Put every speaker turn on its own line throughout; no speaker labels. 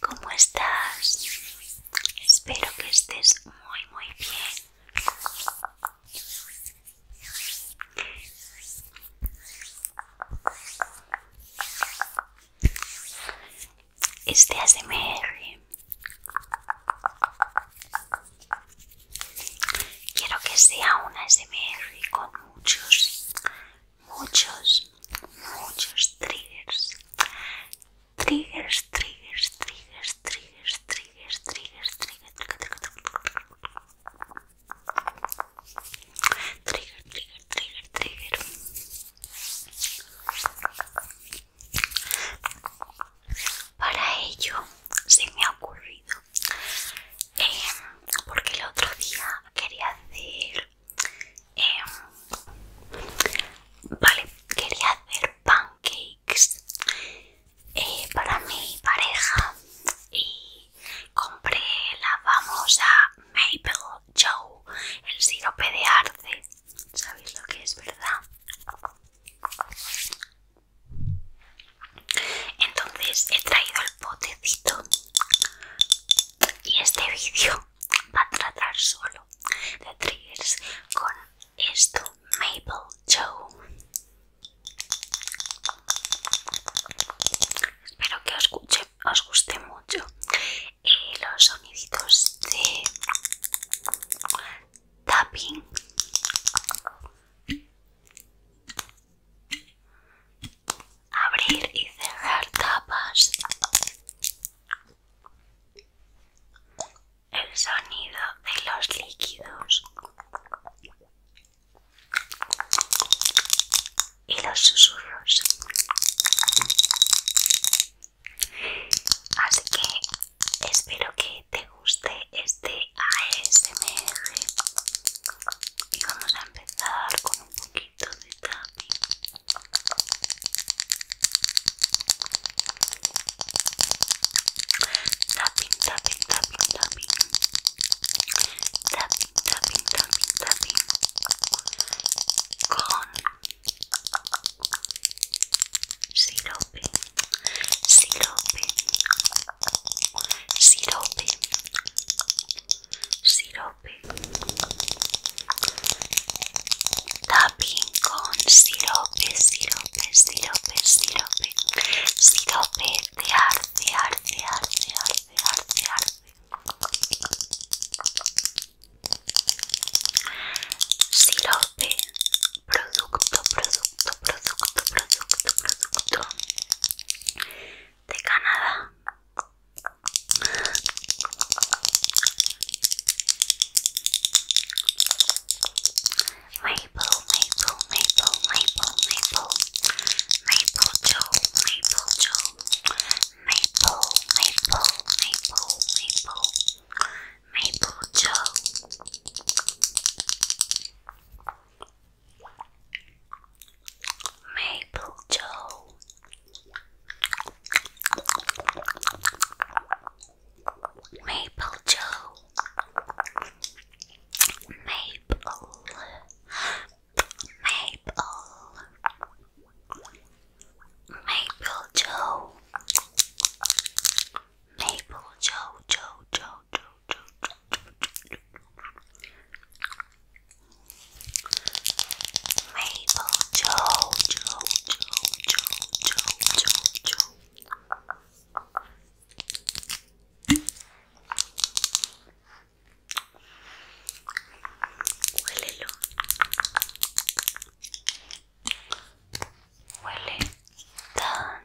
¿cómo estás? Espero que estés muy, muy bien. Este ASMR quiero que sea una ASMR con muchos muchos, muchos triggers. Triggers, triggers, triggers, triggers, triggers, triggers, triggers, triggers, triggers Para ello se me ha ocurrido, eh, porque el otro día quería hacer Em, vale, quería hacer pancakes eh, para mi pareja y compré la famosa Maple Joe, el sirope de arce. ¿Sabéis lo que es, verdad? Entonces he traído el potecito y este vídeo va a tratar solo de triggers con esto Maple Joe espero que os, guste mucho eh, los soniditos de tapping abrir y cerrar tapas. El sonido de los líquidos y los susurros. Así que espero que te guste este ASMR. Y vamos a empezar con un poquito. keep those happy. Tapping, tapping, tapping, tapping. Tapping, Con. Sirope. Sirope. Sirope. sirope tapping con sirope sirope sirope sirope sirope de arte arte arte arte arte arte sirope producto producto producto producto producto de Canadá. Maple, maple, maple, maple, maple, maple Joe, maple Joe, maple, maple, maple, maple, maple Joe. Maple Joe. Maple Joe. Maple. Maple. Maple Joe. Maple Joe Joe Joe Joe Joe Joe Mabel Joe, Joe, Joe, Joe, Joe, Joe, Joe. Huele tan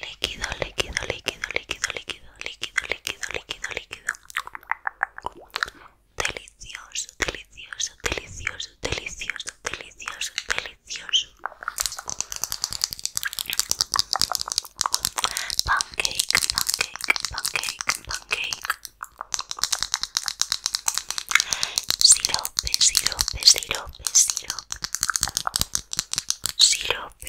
líquido, líquido, líquido, líquido, líquido, líquido, líquido, líquido, líquido. Delicioso, delicioso, delicioso, delicioso, delicioso, delicioso. Pancake, pancake, pancake, pancake. Sirope, sirope, sirope, sirope. Sirope,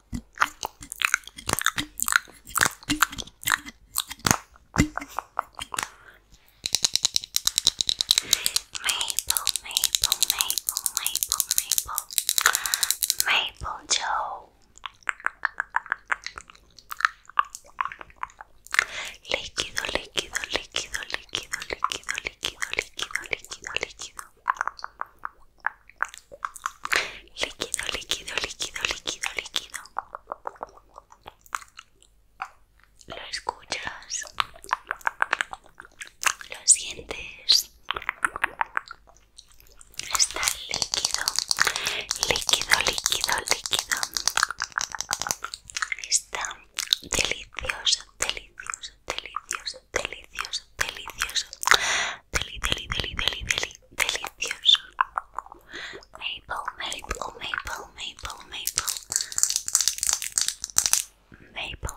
Maple, maple, maple, maple, maple, maple Joe. Líquido, líquido, líquido, líquido, líquido, líquido, líquido, líquido, líquido. líquido, líquido, líquido, líquido, líquido. Lo escuchas, lo sientes. Está líquido, líquido, líquido, líquido. Está delicioso, delicioso, delicioso, delicioso, delicioso, deli, deli, deli, deli, delicioso. Maple, maple, maple, maple, maple, maple.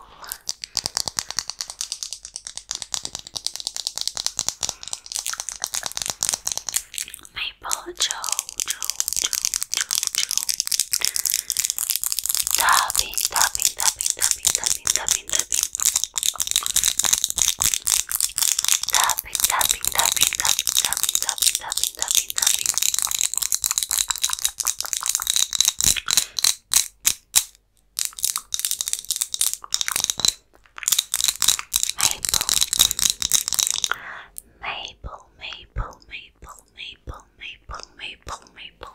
Maple, Joe, Joe, Joe, Joe, Tapping, tapping, tapping, tapping, tapping, tapping, tapping, tapping, tapping. Maple, maple, maple, maple, maple, maple, maple, maple, maple.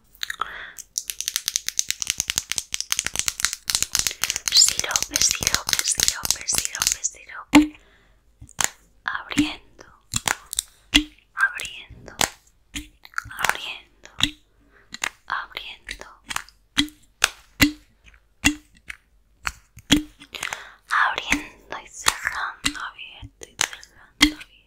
sirope, sirope, sirope, sirope, sirope. Abriendo, abriendo, abriendo, abriendo, abriendo y cerrando, abierto y cerrando, abierto.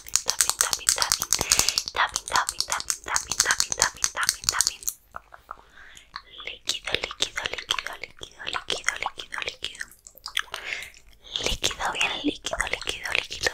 también también líquido, líquido, líquido, líquido, líquido, líquido, líquido, líquido, bien líquido, líquido, líquido, líquido, líquido, líquido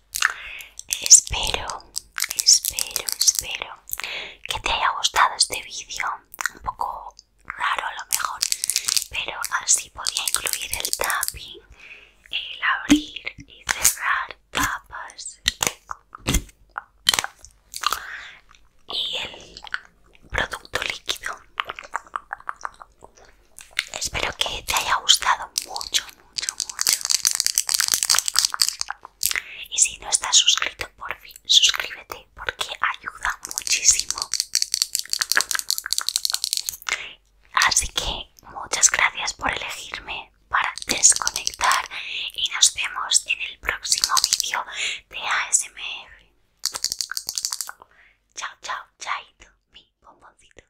Espero, espero, espero que te haya gustado este vídeo. Un poco raro a lo mejor, pero así podía incluir el tapping, el abrir y cerrar papas y el producto líquido. Espero que te haya gustado mucho mucho, mucho. Y si no estás suscrito, por fin, suscríbete porque ayuda muchísimo. Así que muchas gracias por elegirme para desconectar y nos vemos en el próximo vídeo de ASMR. Chao, chao, chaito, mi bomboncito.